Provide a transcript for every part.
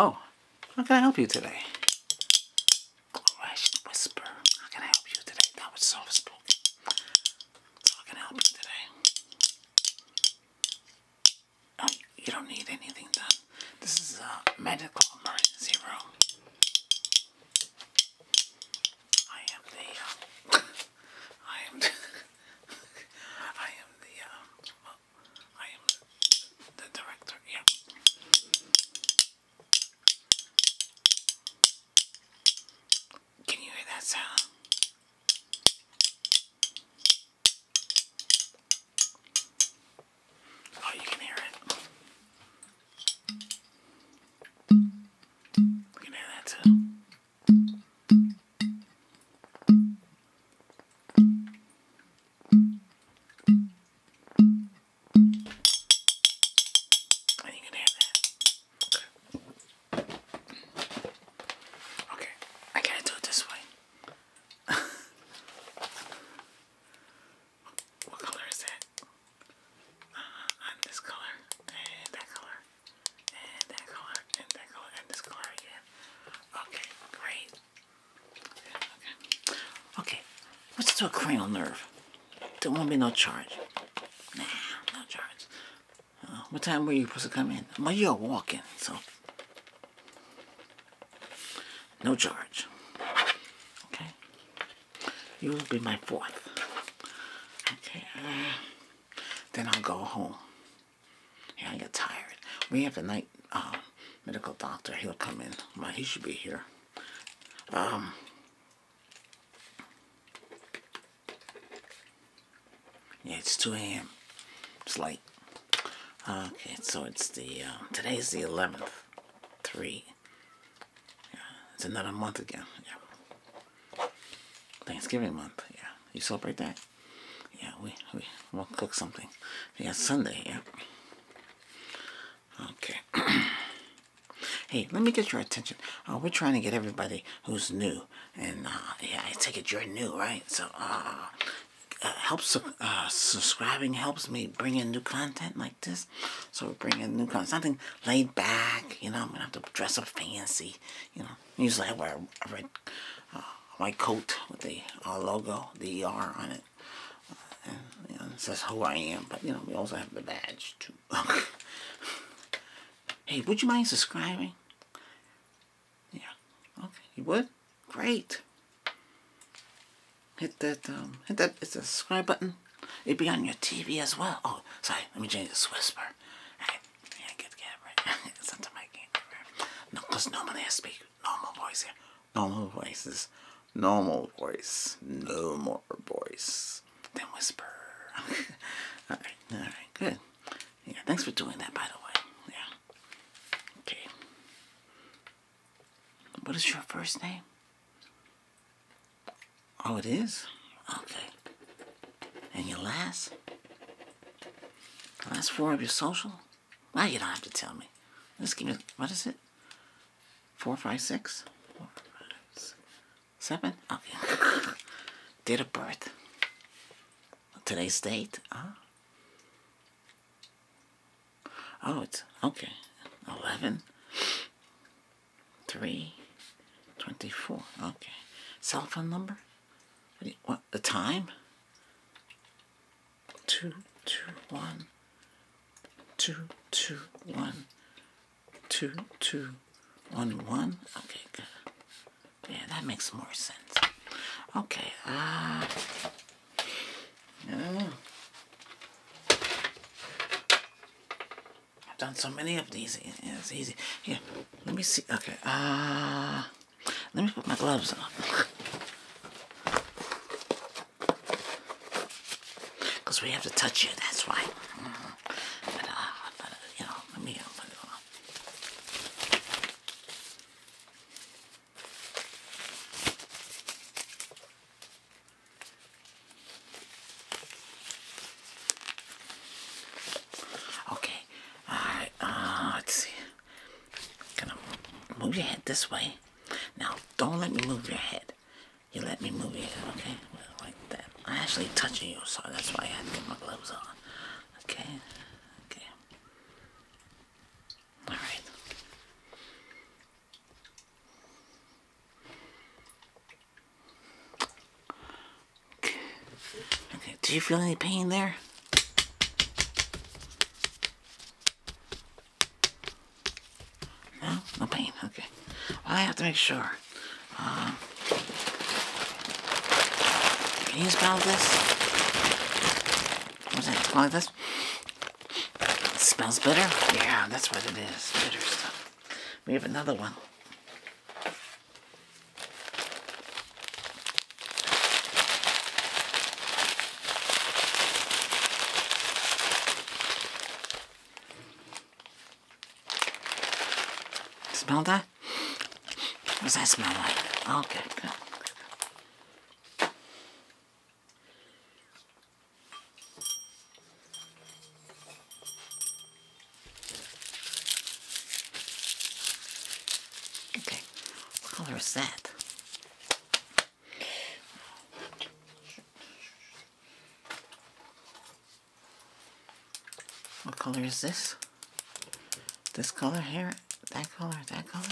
Oh, how can I help you today? whisper. How can I help you today? That was soft spoken. how can I help you today? Oh, you don't need anything done. This is a medical emergency room. I am the, um, I am I am the, um, I am uh, the director, yeah. Can you hear that sound? Oh, you can hear it. We can hear that too. And oh, you can hear that. Okay. Okay. I gotta do it this way. What color is that? Uh, this color, and that color, and that color, and that color, and this color again. Okay, great. Okay, okay. let's do a cranial nerve. There won't be no charge. Nah, no charge. Uh, what time were you supposed to come in? My, you're walking, so. No charge. Okay. You will be my fourth. Okay. Uh, then I'll go home. Yeah, I get tired. We have the night uh, medical doctor. He'll come in. he should be here. Um, yeah, it's 2 a.m. It's late. Okay, so it's the, uh, today's the 11th. 3, yeah, it's another month again. Yeah. Thanksgiving month. Yeah. You celebrate that? Yeah, we, we will cook something. Yeah, Sunday. Yeah. Okay. hey, let me get your attention. Uh, we're trying to get everybody who's new. And uh, yeah, I take it you're new, right? So, uh, uh helps uh, subscribing helps me bring in new content like this. So we are bringing new clothes, something laid back. You know, I'm gonna have to dress up fancy. You know, usually I wear a red, uh, white coat with the uh, logo, the ER on it. Uh, and, you know, it says who I am, but you know, we also have the badge too. hey, would you mind subscribing? Yeah, okay, you would? Great hit that, um, hit that, it's a subscribe button. It'd be on your TV as well. Oh, sorry, let me change this whisper. I, yeah, get the camera. Sometimes I can't No, because normally I speak normal voice here. Normal voices. Normal voice. No more voice Then whisper. alright, alright, good. Yeah, thanks for doing that, by the way. Yeah. Okay. What is your first name? Oh, it is? Okay. And your last? last four of your social? well, you don't have to tell me. Let's give me, what is it? Four, five, six, seven. six? Four, five, six. Seven? Okay. Date of birth. Today's date? Huh? Oh, it's okay. 11, 3, 24. Okay. Cell phone number? What, the time? 2, 2, 1, 2, 2, 1, 2, 2, 1, 1. Okay, good. Yeah, that makes more sense. Okay, uh... Yeah. I've done so many of these. It's easy. Here, let me see. Okay. Uh, let me put my gloves on. Because we have to touch you. That's why. but, uh, but, you know, let me uh, put it on. Okay, alright, uh, let's see. Gonna move your head this way. Now, don't let me move your head. You let me move your head, okay? Like that. I'm actually touching you, so that's why I had to get my gloves on. Okay, okay. Alright. Okay, do you feel any pain there? No? No pain? Okay. I have to make sure. Uh, can you spell this? What's that? Like this? Smells bitter? Yeah, that's what it is. Bitter stuff. We have another one. Smell that? What does that smell like? Okay, good. Okay, what color is that? What color is this? This color here? That color? That color?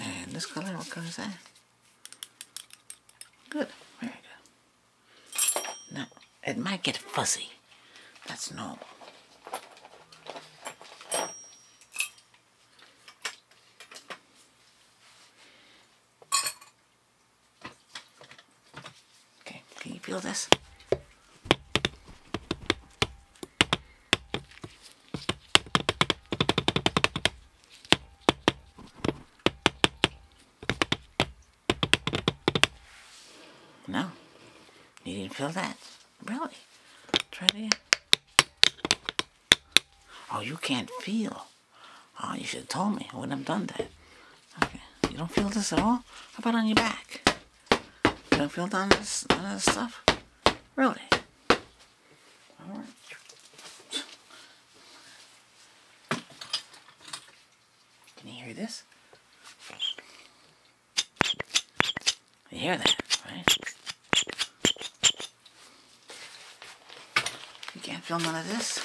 And this color? What color is that? Good, very good. Now, it might get fuzzy. That's normal. Okay, can you feel this? No. You didn't feel that. Really. Try it again. Oh, you can't feel. Oh, you should have told me. I wouldn't have done that. Okay. You don't feel this at all? How about on your back? You don't feel none of this stuff? Really? All right. Can you hear this? You hear that, right? You can't feel none of this.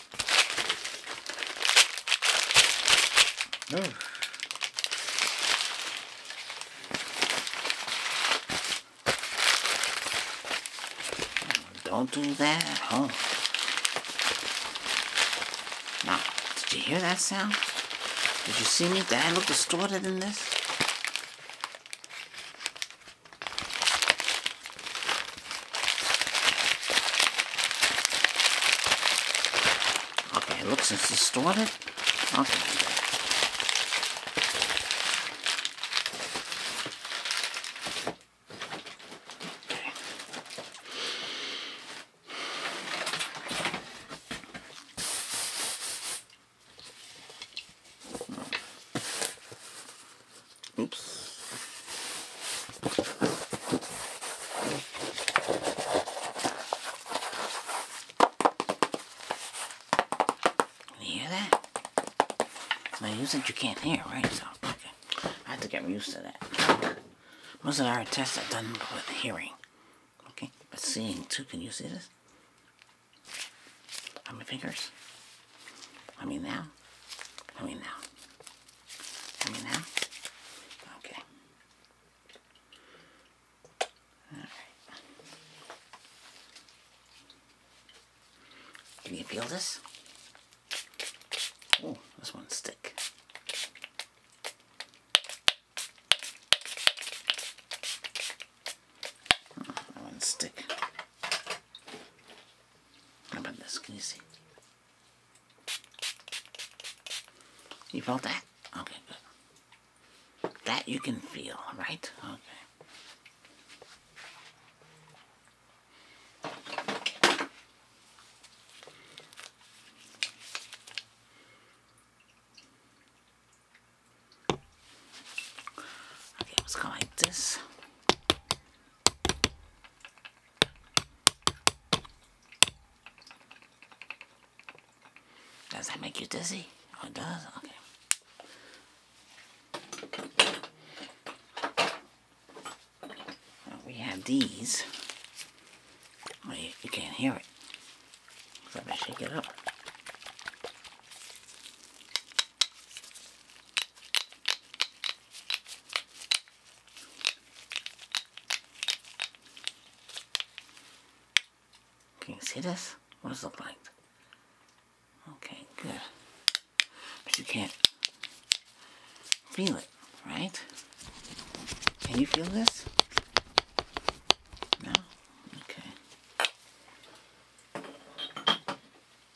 Oh. Don't do that, huh? Now, did you hear that sound? Did you see me? Did I look distorted in this? Okay, it looks it's distorted. Okay. Oops. You hear that? Now you said you can't hear, right? So, okay. I have to get used to that. Most of our tests are done with hearing. Okay, but seeing too. Can you see this? On my fingers? I mean now? I mean now. Can you feel this? Oh, this one stick. Oh, that one's thick. How about this? Can you see? You felt that? Okay, good. That you can feel, right? Okay. Okay, let's go like this. Does that make you dizzy? Oh, it does? Okay. we have these. Oh, you, can't hear it. Let me shake it up. Can you see this? What does it look like? Okay, good. But you can't feel it, right? Can you feel this? No? Okay.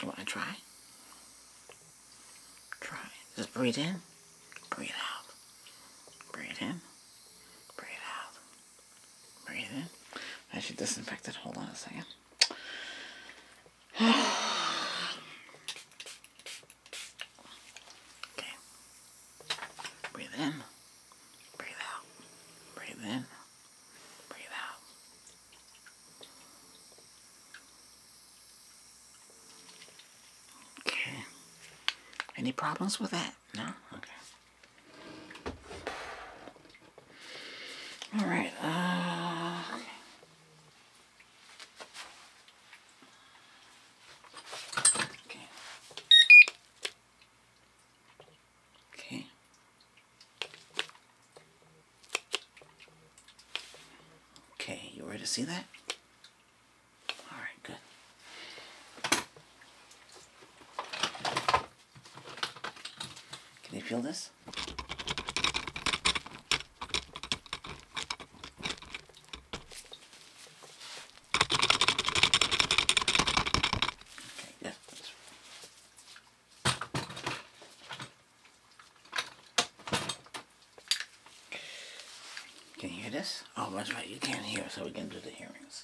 You want to try? Try. Just breathe in, breathe out. Breathe in, breathe out. Breathe in. I should disinfect it. Hold on a second. okay. Breathe in. Breathe out. Breathe in. Breathe out. Okay. Any problems with that? No? Okay. All right. Uh, okay. Okay. Okay, you ready to see that? All right, good. Can you feel this? Can you hear this? Oh, that's right, you can't hear, so we can do the hearings.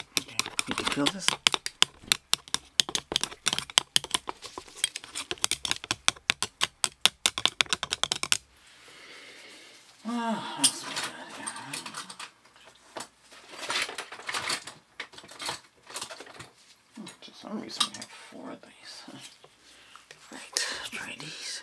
Okay, you can feel this. Ah, oh, awesome. oh, to some reason we have four of these. Right, try these.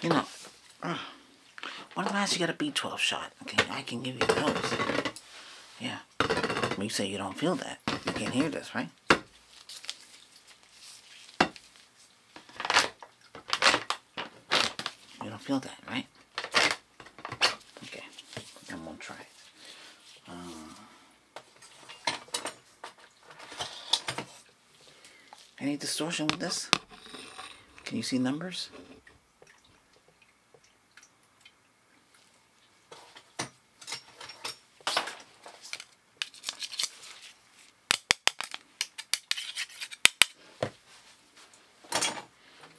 You know, one of the last you got a B12 shot. Okay, I can give you those. Yeah. you say you don't feel that. You can't hear this, right? You don't feel that, right? Okay, I'm gonna try uh, any distortion with this? Can you see numbers?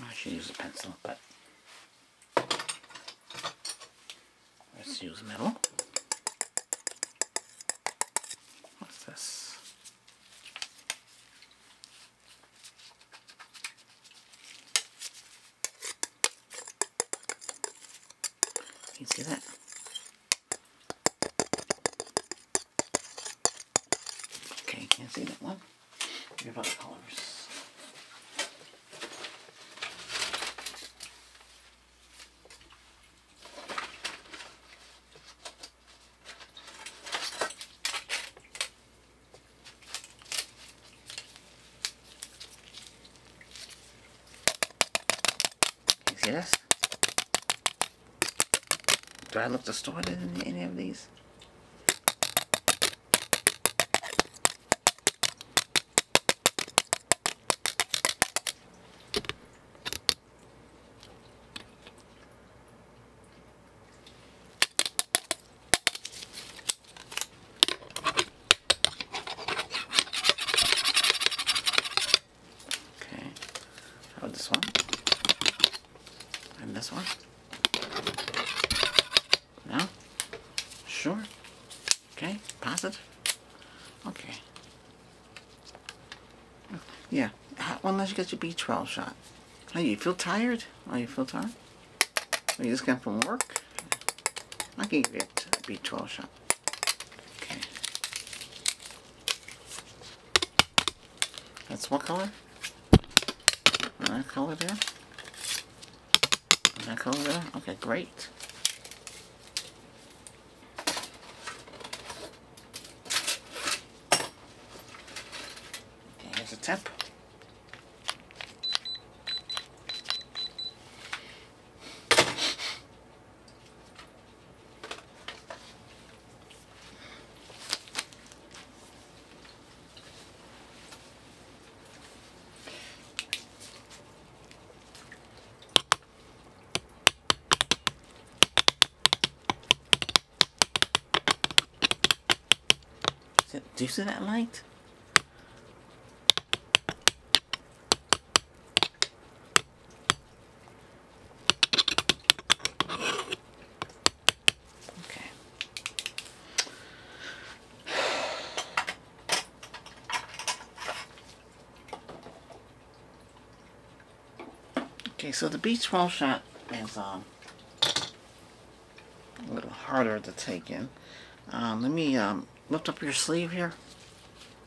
I should use a pencil, but let's use metal. What's this? You see that? Okay, can't see that one. What about colors? see this? Do I look distorted in any of these? Okay. How about this one? And this one? No? Sure. Okay. Pass it. Okay. Yeah. Unless you get your B12 shot. Are you feel tired? Are oh, you feel tired? Are you just got from work? I can give you a B12 shot. Okay. That's what color? That color there? That color there? Okay, great. here's a tip. Do you see that light? Okay. Okay, so the B12 shot is um, a little harder to take in. Um, let me um, lift up your sleeve here.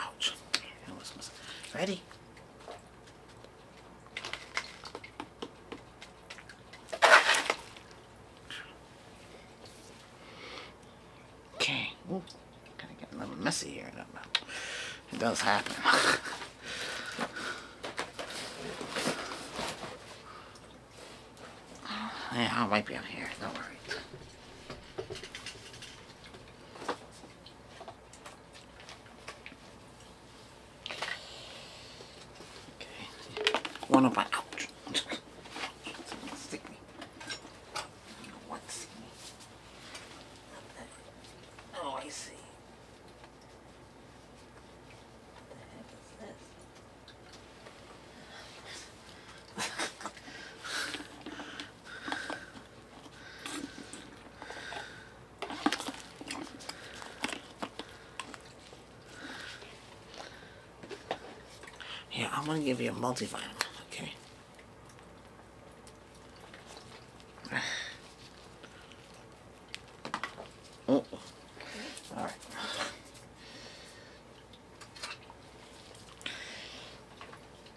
Ouch. Ready? Okay. Ooh, gotta get a little messy here. It does happen. Uh, yeah, I'll wipe you out here. Don't worry. Okay. One of my... Ouch. Stick Oh, I see. What the heck is this? Yeah, I'm going to give you a multivitamin, okay? Oh. All right.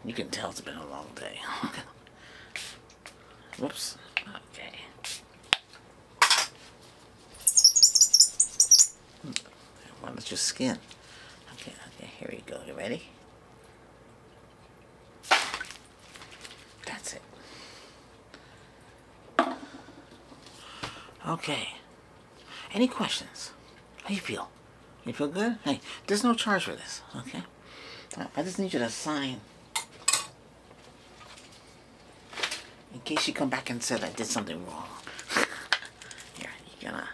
You can tell it's been a long day. Whoops. Okay. Hmm. Why your skin? Okay, okay, here you go. You ready? That's it. Okay. Any questions? How you feel? You feel good? Hey, there's no charge for this, okay? I just need you to sign. In case you come back and said I did something wrong. Yeah, you are gonna...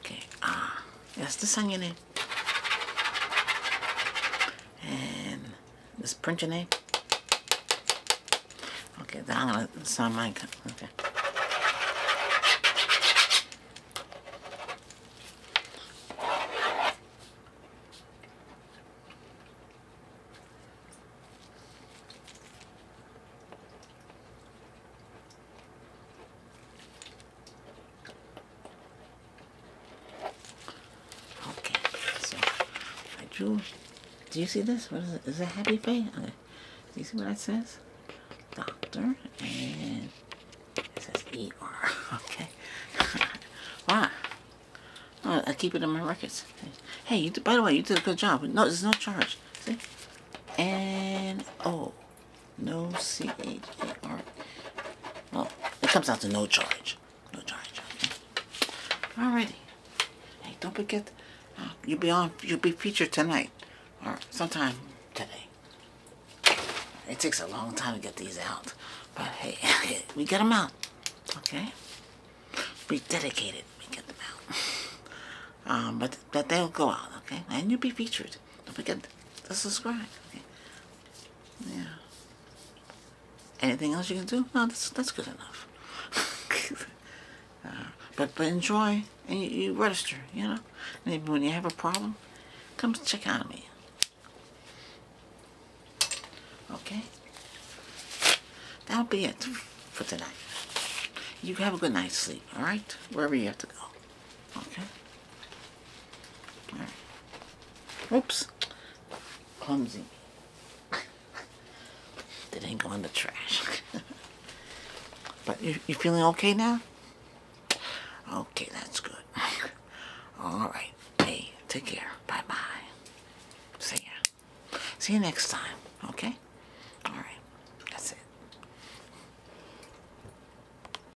Okay, ah. yes, just sign in. And this print your name. Okay, then I'm going to sign mine. Okay. Okay, so I drew. Do you see this? What is it? Is it happy face? Okay. Do you see what that says? Doctor and it says ER. Okay. wow. I keep it in my records. Hey, by the way, you did a good job. No, there's no charge. See? And oh. No C H E R. Well, it comes out to no charge. No charge. Okay? Alrighty. Hey, don't forget, uh, you'll be on. You'll be featured tonight, or sometime today. It takes a long time to get these out, but hey, we get them out. Okay. We dedicate it. We get them out. um, but that they'll go out. Okay, and you'll be featured. Don't forget to subscribe. Yeah. Anything else you can do? No, that's, that's good enough. Uh, but but enjoy and you, you register, you know. Maybe when you have a problem, come check on me. Okay? That'll be it for tonight. You have a good night's sleep, alright? Wherever you have to go. Okay? Oops. Clumsy. that ain't going to trash. but you, you feeling okay now? Okay, that's good. All right. Hey, take care. Bye-bye. See ya. See you next time, okay? All right. That's it.